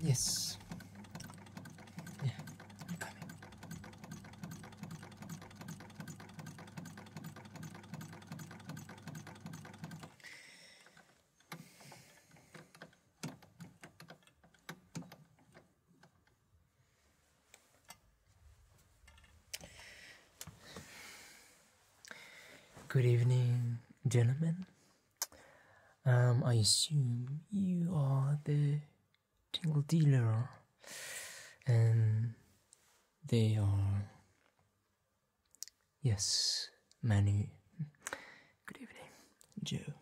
Yes. Yeah, I'm coming. Good evening, gentlemen. Um, I assume you are the tingle dealer, and they are. Yes, many. Good evening, Joe.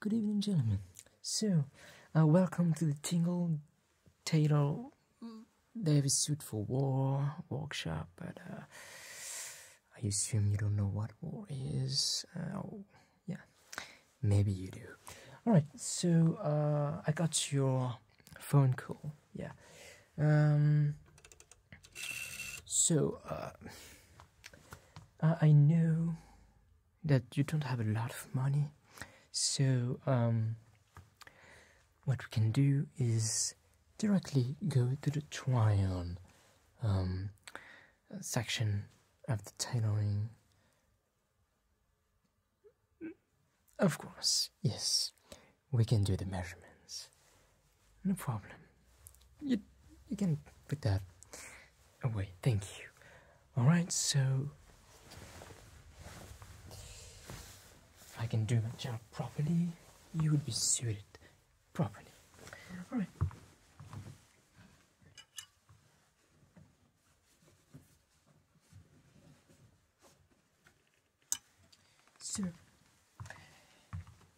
Good evening, gentlemen. So, uh, welcome to the Tingle Taylor Davis Suit for War workshop. But uh, I assume you don't know what war is. Uh, yeah, maybe you do. All right. So uh, I got your phone call. Yeah. Um. So I knew that you don't have a lot of money. So, um, what we can do is directly go to the try on um, section of the tailoring. Of course, yes, we can do the measurements. No problem. You, you can pick that. Oh wait, Thank you. All right, so if I can do my job properly, you would be suited properly. All right. So,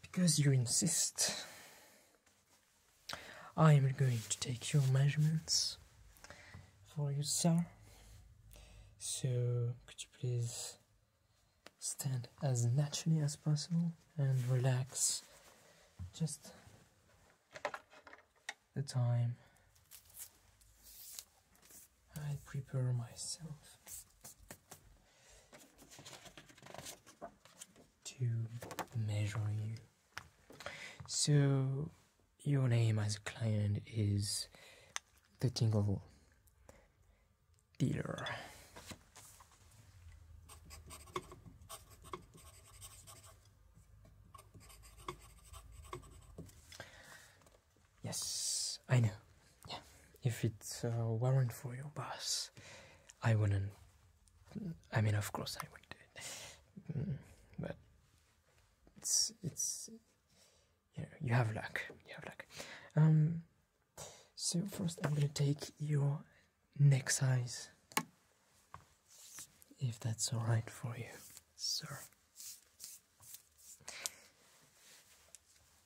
because you insist, I am going to take your measurements for you, sir. So, could you please stand as naturally as possible and relax just the time I prepare myself to measure you. So, your name as a client is the Tingle Dealer. Yes, I know. if it uh, weren't for your boss, I wouldn't I mean, of course, I would do it, mm, but it's it's you know you have luck, you have luck. Um, so first I'm gonna take your neck size, if that's all right for you, sir.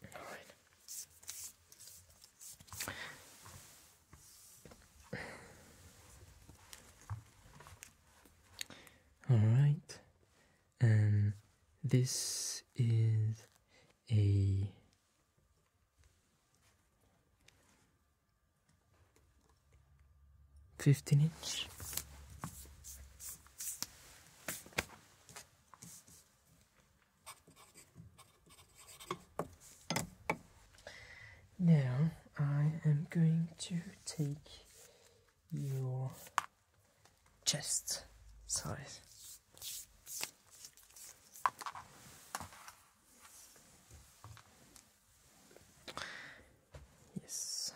All right. All right, and um, this is a fifteen inch. Now I am going to take your chest size. Yes.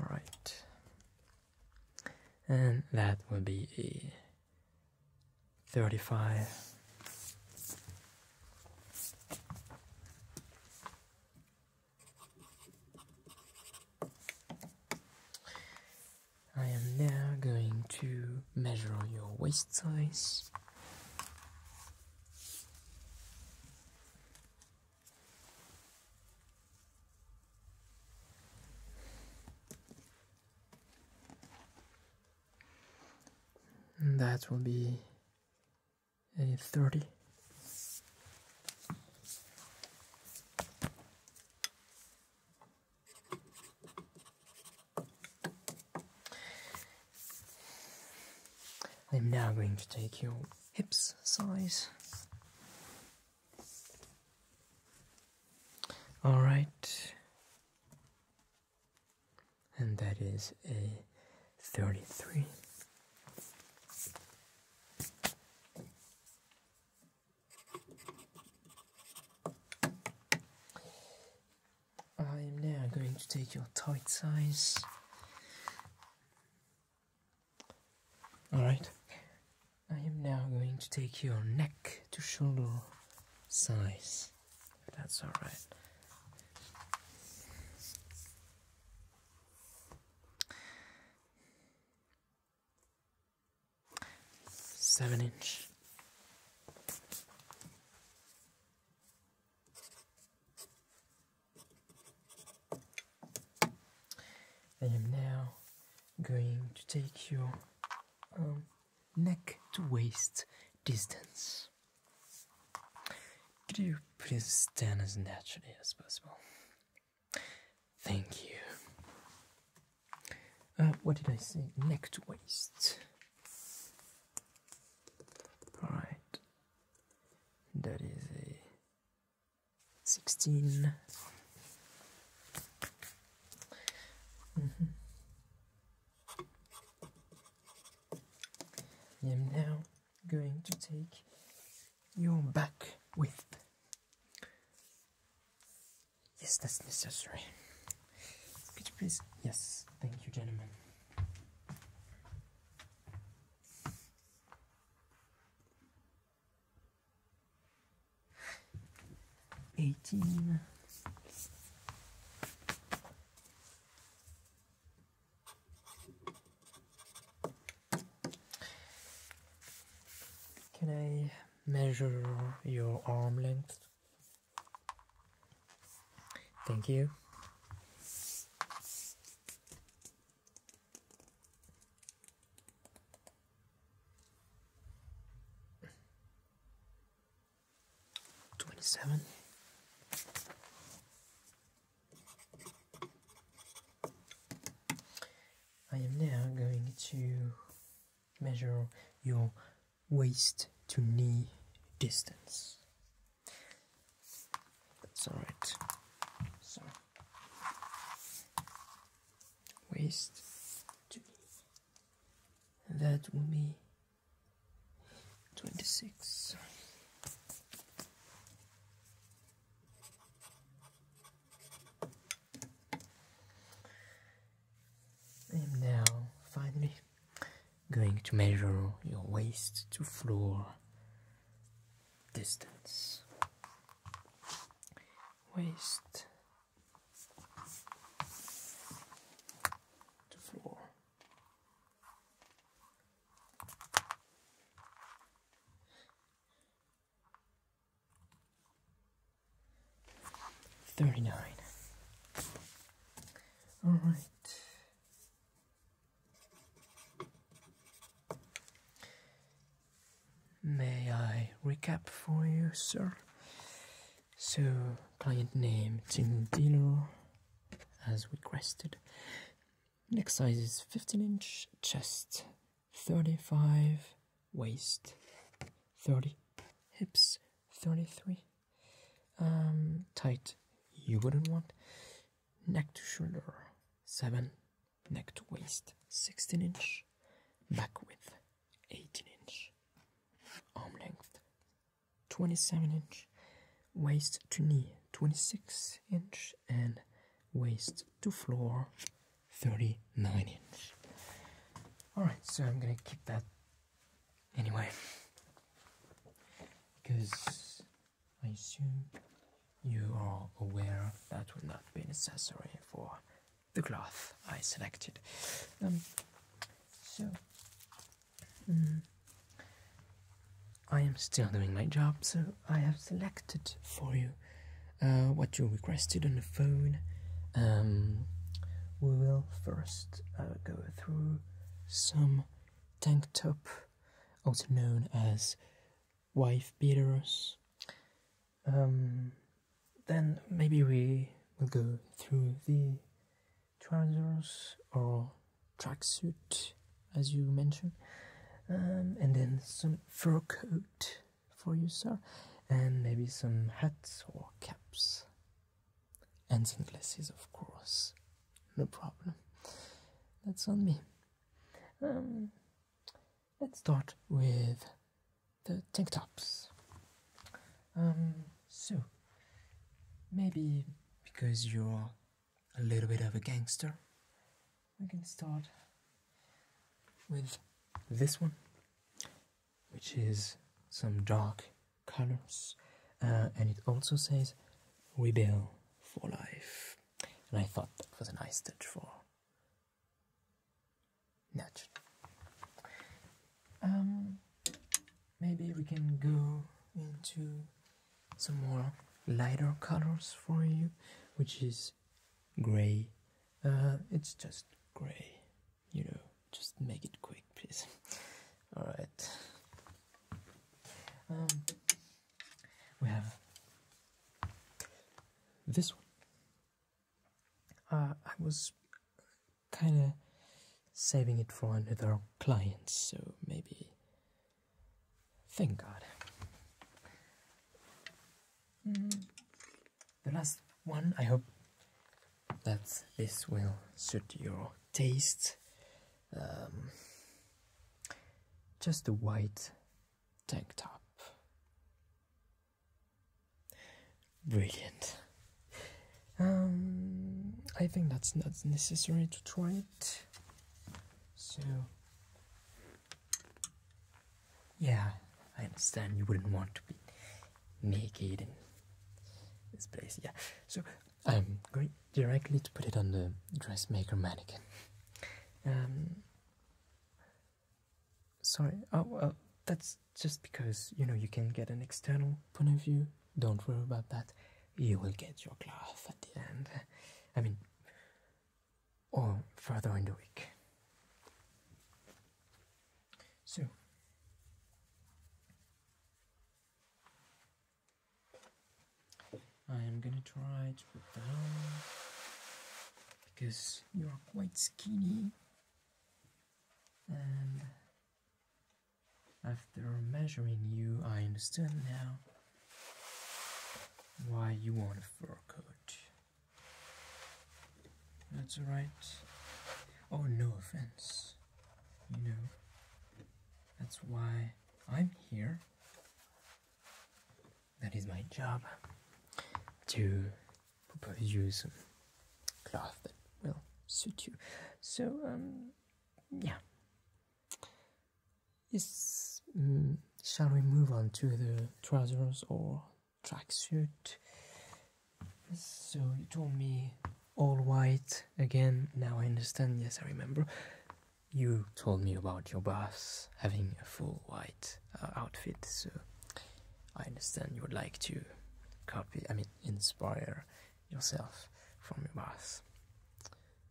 All right. And that will be a 35. I am now going to measure your waist size and that will be a 30 I'm now going to take your hips size. All right, and that is a 33. I am now going to take your tight size. Alright, I am now going to take your neck to shoulder size. That's all right. Seven inch. I am now going to take your um, neck to waist distance. Could you please stand as naturally as possible? Thank you. Uh, what did I say? Neck to waist. Alright. That is a 16. Mm -hmm. I am now going to take your back width. Yes, that's necessary. Could you please? Yes, thank you, gentlemen. 18. Can I measure your arm length? Thank you. 27 I am now going to measure your waist to knee distance. That's alright. waist to knee and that will be 26 and now finally going to measure your waist to floor distance waist Thirty nine. All right. May I recap for you, sir? So client name Tim Dealer as requested. Neck size is 15 inch, chest 35, waist 30, hips 33. Um, tight you wouldn't want. Neck to shoulder 7, neck to waist 16 inch, back width 18 inch arm length 27 inch waist to knee 26 inch and waist to floor 39 inch all right so i'm gonna keep that anyway because i assume you are aware that will not be necessary for the cloth I selected. Um, so, mm, I am still doing my job, so I have selected for you uh, what you requested on the phone. Um, we will first uh, go through some tank top, also known as wife beaters, um, then maybe we will go through the trousers or tracksuit as you mentioned um, and then some fur coat for you sir and maybe some hats or caps and sunglasses of course no problem that's on me um, let's start with the tank tops. Um, so, maybe because you're a little bit of a gangster, we can start with this one, which is some dark colors, uh, and it also says "Rebel for Life," and I thought that was a nice touch for Nudge. Um, maybe we can go into some more lighter colors for you, which is gray. Uh, it's just gray, you know. Just make it quick, please. All right. Um, we have this one, uh, I was kind of saving it for another client, so maybe. Thank God. Mm-hmm. The last one, I hope that this will suit your taste. Um, just a white tank top. Brilliant. Um, I think that's not necessary to try it. So, yeah, I understand you wouldn't want to be naked in this place. Yeah, so I'm going directly to put it on the dressmaker mannequin. Um, Sorry. Oh, that's just because, you know, you can get an external point of view. Don't worry about that. You will get your glove at the end. I mean, or further in the week. So, I am gonna try to put down because you are quite skinny and after measuring you, I understand now why you want a fur coat. That's right. Oh, no offense. You know, that's why I'm here. That is my job to probably use um, cloth that will suit you. So, um, yeah. Yes, mm, shall we move on to the trousers or tracksuit? So, you told me all white again. Now I understand. Yes, I remember. You told me about your boss having a full white uh, outfit. So I understand you would like to copy, I mean, inspire yourself from your boss.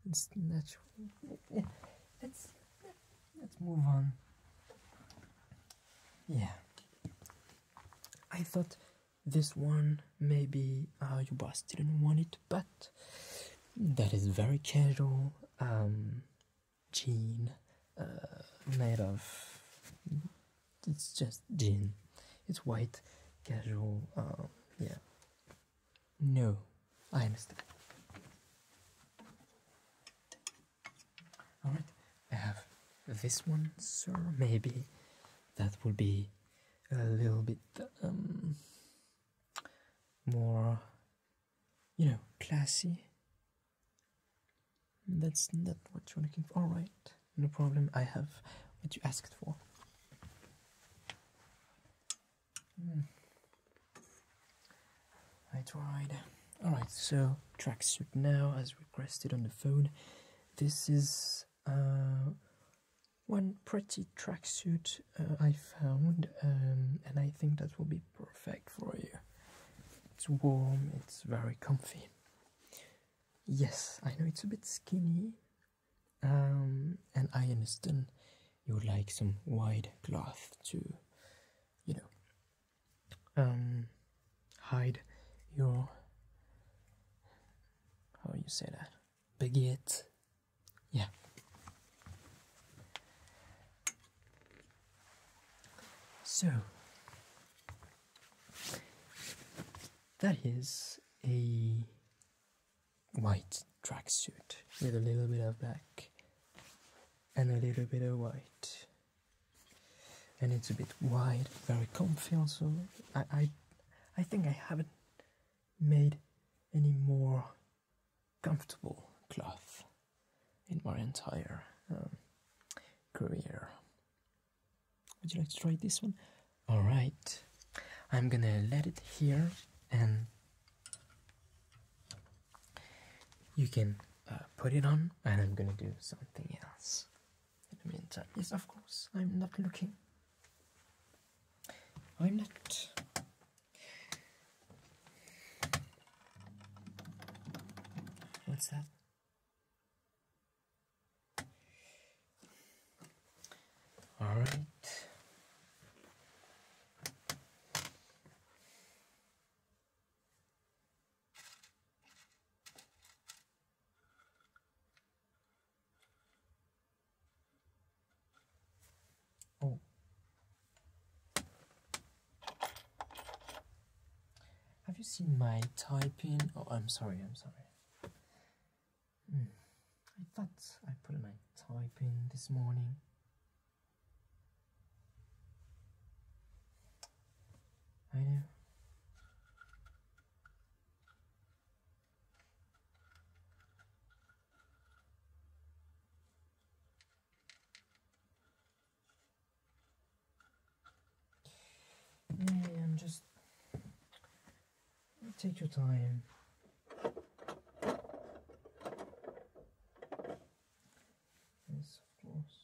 It's natural. Let's let's move on. Yeah. I thought this one maybe your boss didn't want it, but that is very casual. Um, Jean, uh, made of it's just jean. it's white casual um, yeah no i understand all right i have this one sir maybe that would be a little bit um, more you know classy that's not what you're looking for. right? no problem. I have what you asked for. Mm. I tried. Alright, so tracksuit now as requested on the phone. This is uh, one pretty tracksuit uh, I found, um, and I think that will be perfect for you. It's warm, it's very comfy. Yes, I know it's a bit skinny, um, and I understand you would like some wide cloth to, you know, um, hide your. How you say that? Baguette. Yeah. So, that is a white tracksuit with a little bit of black and a little bit of white. And it's a bit wide, very comfy also. I, I, I think I haven't made any more comfortable cloth in my entire um, career. Would you like to try this one? All right, I'm gonna let it here, and you can uh, put it on, and I'm gonna do something else. In the meantime, yes, of course, I'm not looking. I'm not. What's that? All right. Oh. Have you seen my typing? Oh, I'm sorry, I'm sorry. Hmm. I thought I put my typing this morning. I know. Yeah, I'm just take your time. Yes, of course.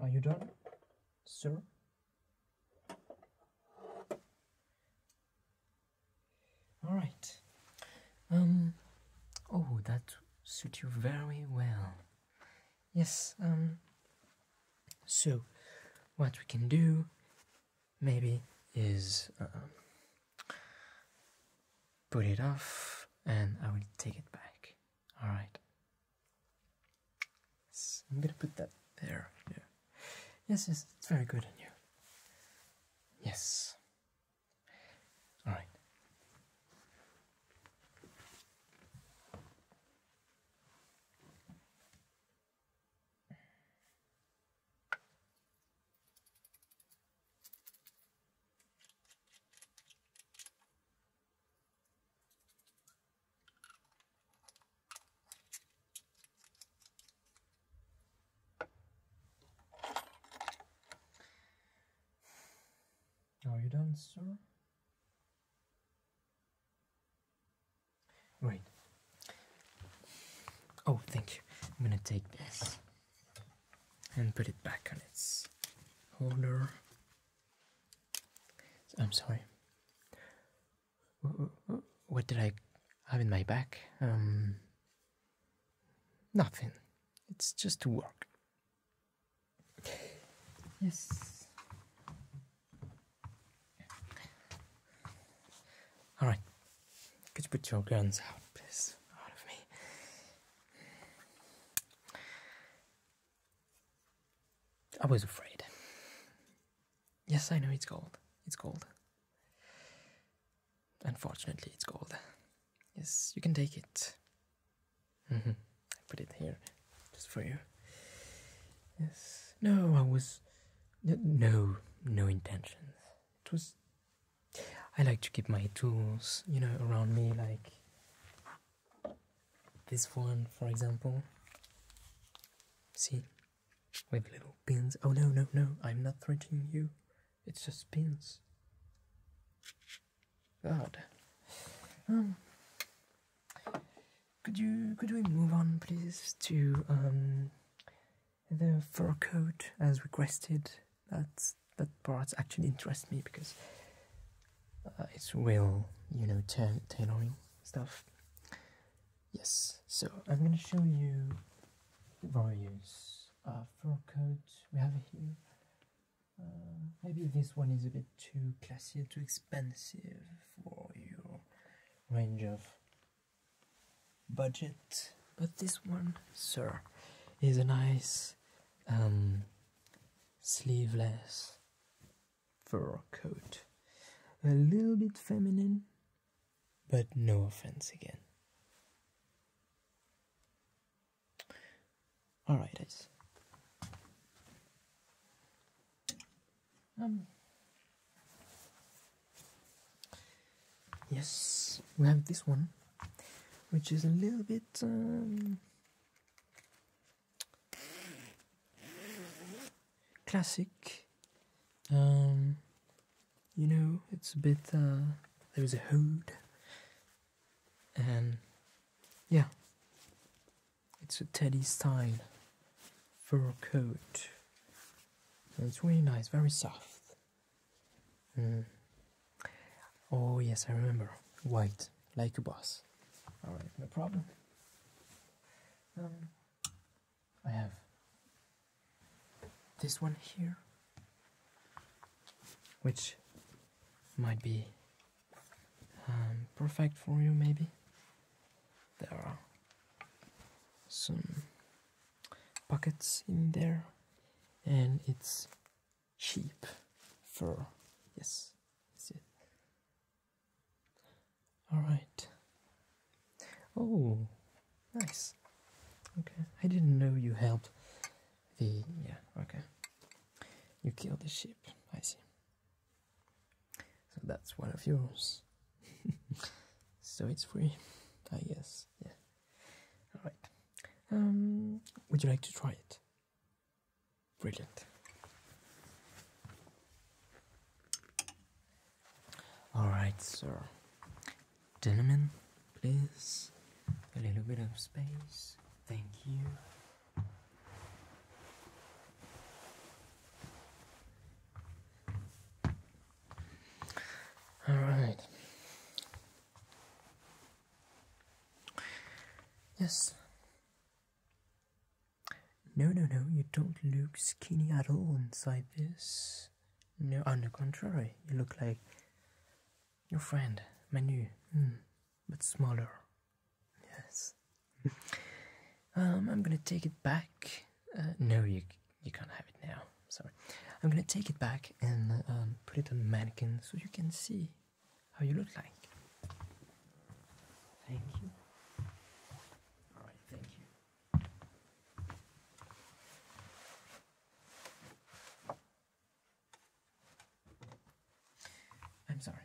Are you done, sir? All right. Um. Oh, that suits you very well. Yes. Um. So, what we can do, maybe, is um, put it off, and I will take it back. All right. I'm gonna put that there. Yeah. Yes, yes, it's very good in you. Yes. All right. Are you done, sir? Right. Oh, thank you. I'm gonna take this and put it back on its holder. I'm sorry. What did I have in my back? Um, Nothing. It's just to work. Yes. All right. Could you put your guns out, please, out of me? I was afraid. Yes, I know it's cold. It's cold. Unfortunately, it's gold. Yes, you can take it. Mm-hmm. I put it here just for you. Yes. No, I was. No, no intentions. It was. I like to keep my tools, you know, around me, like this one, for example. See, with little pins. Oh no, no, no, I'm not threatening you. It's just pins. God. Um, could you could we move on please to um the fur coat as requested? That's that part actually interests me because uh, it's real, you know, tailoring stuff. Yes, so I'm going to show you various uh, fur coats we have here. Uh, maybe this one is a bit too classy, too expensive for your range of budget, but this one, sir, is a nice um, sleeveless fur coat. A little bit feminine, but no offense again. Alright, guys. Um. Yes, we have this one, which is a little bit. Um, classic. Um, you know, it's a bit, uh, there a hood, and yeah, it's a Teddy Stein fur coat. it's really nice, very soft. Mm. Oh, yes, I remember. White, like a boss. Alright, no problem. Um, I have this one here, which might be um, perfect for you, maybe. There are some pockets in there, and it's cheap for Yes, all right. Oh, nice. Okay, I didn't know you helped the. Yeah, okay. You killed the sheep. I see. So that's one of yours. so it's free, I guess. Yeah. All right. Um, would you like to try it? Brilliant. All right, sir. Gentlemen, please. A little bit of space. Thank you. All right. Yes. No, no, no, you don't look skinny at all inside this. No, on oh, the contrary, you look like your friend, Manu, mm, but smaller. Yes. um, I'm gonna take it back. Uh, no, you you can't have it now. Sorry. I'm gonna take it back and um, put it on mannequin so you can see how you look like. Thank you. All right, thank you. I'm sorry.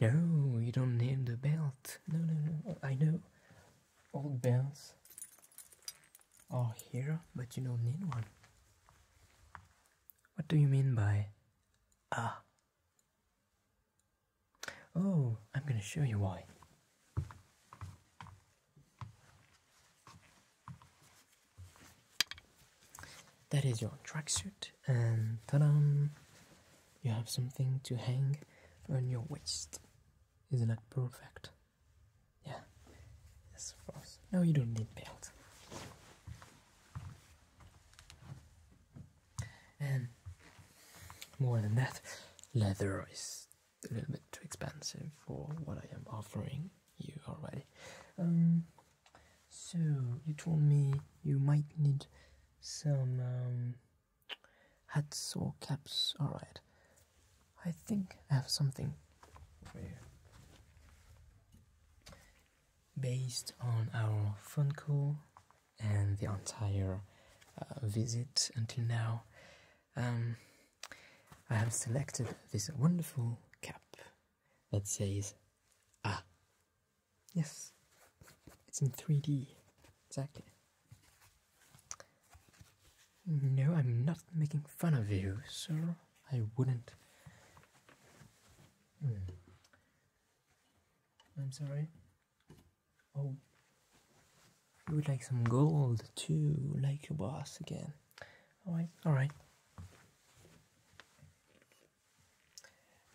No, you don't need the belt. No, no, no. I know old belts are here, but you don't need one. What do you mean by ah? Oh, I'm going to show you why. That is your tracksuit, and ta You have something to hang on your waist. Isn't that perfect? Yeah, yes, of course. No, you don't need belts. And more than that, leather is a little bit too expensive for what I am offering you already. Um, so you told me you might need some um, hats or caps. All right, I think I have something for you. Based on our phone call and the entire uh, visit until now, um, I have selected this wonderful cap that says Ah. Yes, it's in 3D, exactly. No, I'm not making fun of you, sir. I wouldn't. Hmm. I'm sorry. Oh, you would like some gold too, like your boss again. Alright, alright.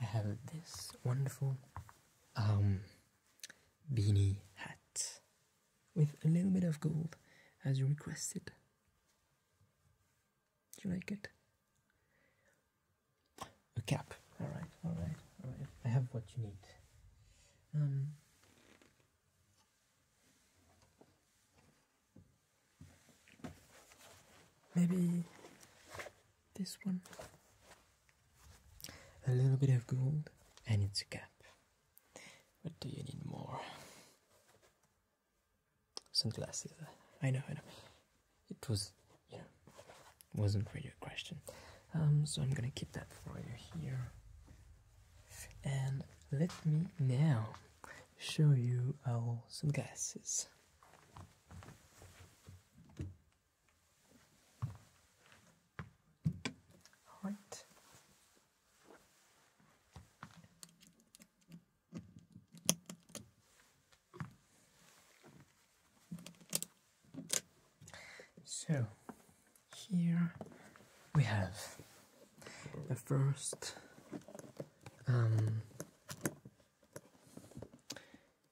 I have this wonderful um, beanie hat with a little bit of gold as you requested. Do you like it? a cap. All right, all right, all right. I have what you need. Um, maybe this one. A little bit of gold, and it's a cap. What do you need more? Sunglasses. I know, I know it was yeah wasn't really a question um, so I'm gonna keep that for you here and let me now show you our sunglasses right so here we have the first um,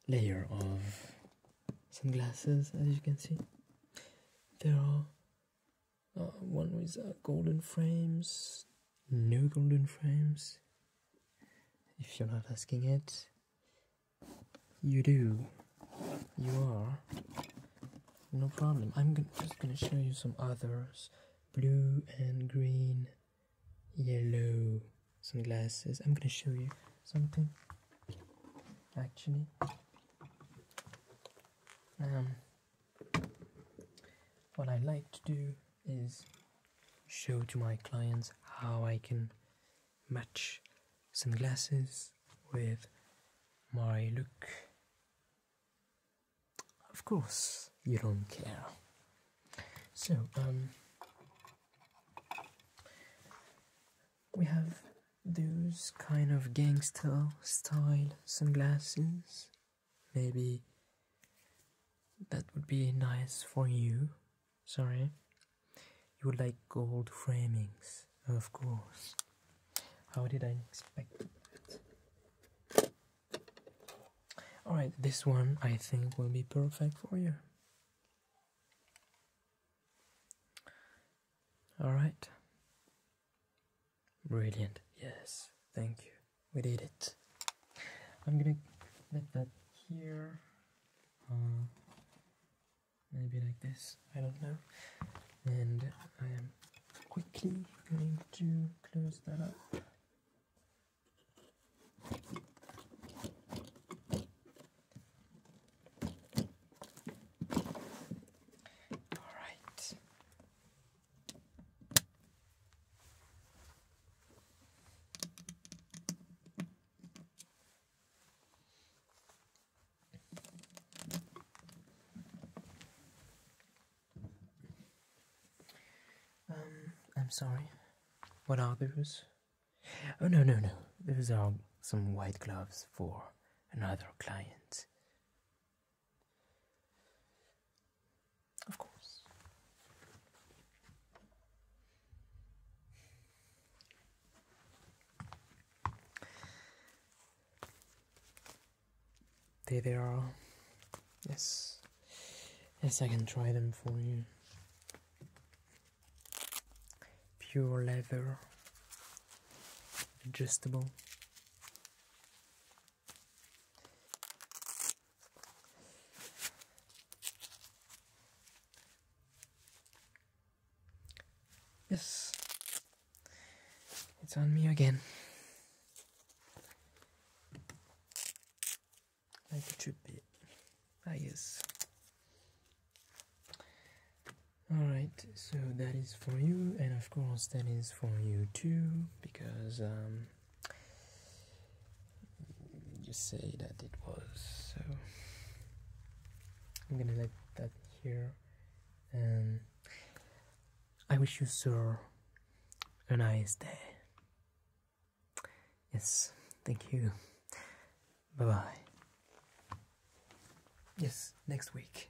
layer of sunglasses, as you can see. There are uh, one with uh, golden frames, no golden frames, if you're not asking it, you do. You are. No problem. I'm just gonna show you some others. Blue and green, yellow sunglasses. I'm gonna show you something. Actually, um, what I like to do is show to my clients how I can match sunglasses with my look. Of course, you don't care. So, um, we have those kind of gangster style sunglasses. Maybe that would be nice for you. Sorry. You like gold framings, of course. How did I expect that? Alright, this one I think will be perfect for you. Alright. Brilliant. Yes, thank you. We did it. I'm gonna let that here. Uh, maybe like this, I don't know. And I am quickly going to close that up. All right. Um, I'm sorry. What are those? Oh, no, no, no. Those are some white gloves for another client. Of course. There they are. Yes. Yes, I can try them for you. Pure leather. Adjustable. Yes, it's on me again. Like it should be. Ah, Alright, so that is for you, and of course, that is for you too, because um, you say that it was so I'm gonna let that here and I wish you sir a nice day yes thank you bye bye yes next week